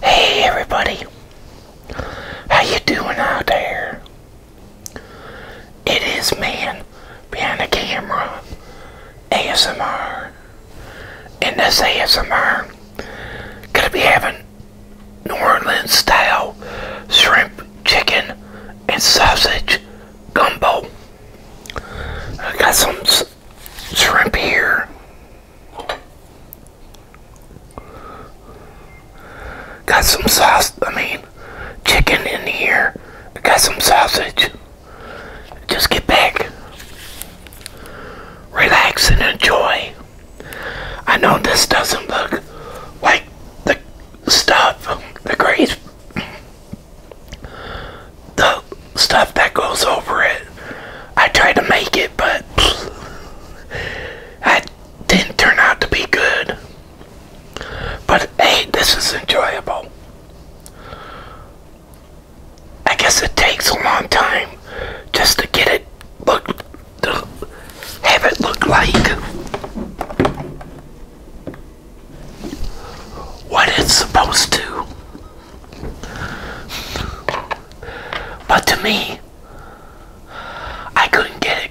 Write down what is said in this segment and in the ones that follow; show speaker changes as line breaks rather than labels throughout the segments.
Hey everybody, how you doing out there? It is man behind the camera, ASMR. And this ASMR, gonna be having New Orleans style shrimp, chicken, and sausage gumbo. I got some shrimp here. Got some sauce, I mean, chicken in here. Got some sausage. Just get back. Relax and enjoy. I know this doesn't look like the stuff, the grease the stuff that goes over it. I tried to make it, but I didn't turn out to be good. But hey, this is enjoyable. I guess it takes a long time just to get it look, to have it look like what it's supposed to. But to me, I couldn't get it.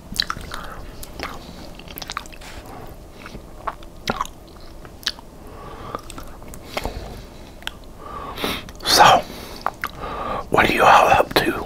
So, what are you all up to?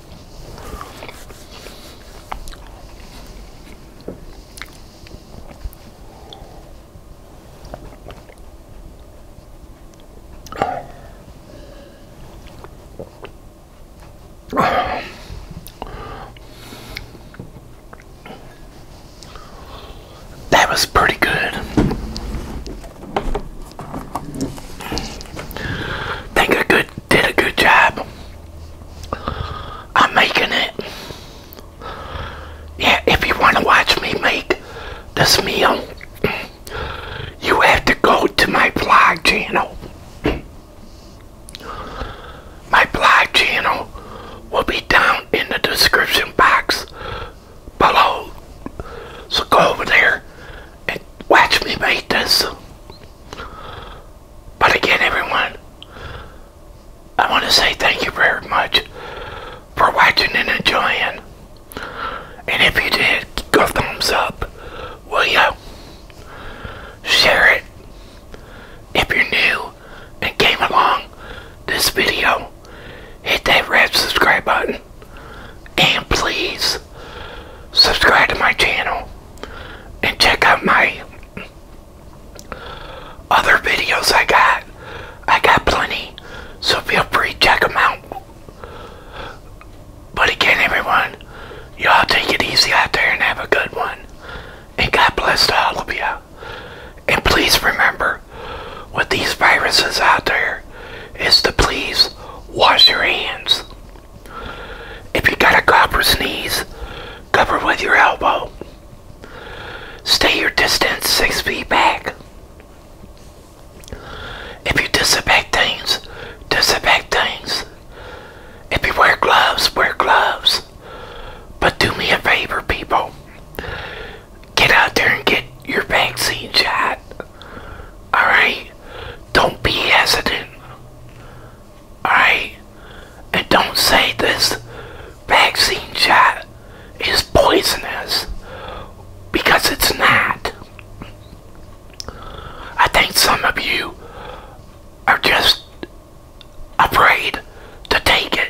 That was pretty good. Think a good did a good job I'm making it. Yeah, if you want to watch me make this meal, you have to go to my blog channel. My blog channel will be down in the description box below. So go over there and watch me make this. But again, everyone, I want to say thank you very much for watching and enjoying. And if you did, go thumbs up, will you? Share it. If you're new and came along this video, hit that red subscribe button. And please subscribe to my channel and check out my other videos I got. I got plenty, so feel free to check them out. But again, everyone, y'all take it easy out there and have a good one. And God bless all of you. And please remember, with these viruses out there, is to please wash your hands. If you got a cough or sneeze, cover with your elbow. Stay your distance six feet back. If you disinfect things, disinfect things. If you wear gloves, wear gloves. But do me a favor, people. Get out there and get your vaccine shot. Alright? Don't be hesitant. Alright? And don't say this vaccine shot is poisonous because it's not. I think some of you are just afraid to take it.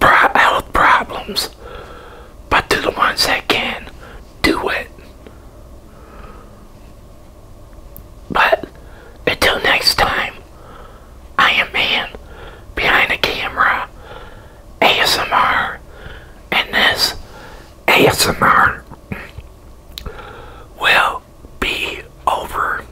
health problems, but to the ones that can do it. But until next time, I am man behind the camera, ASMR, and this ASMR will be over.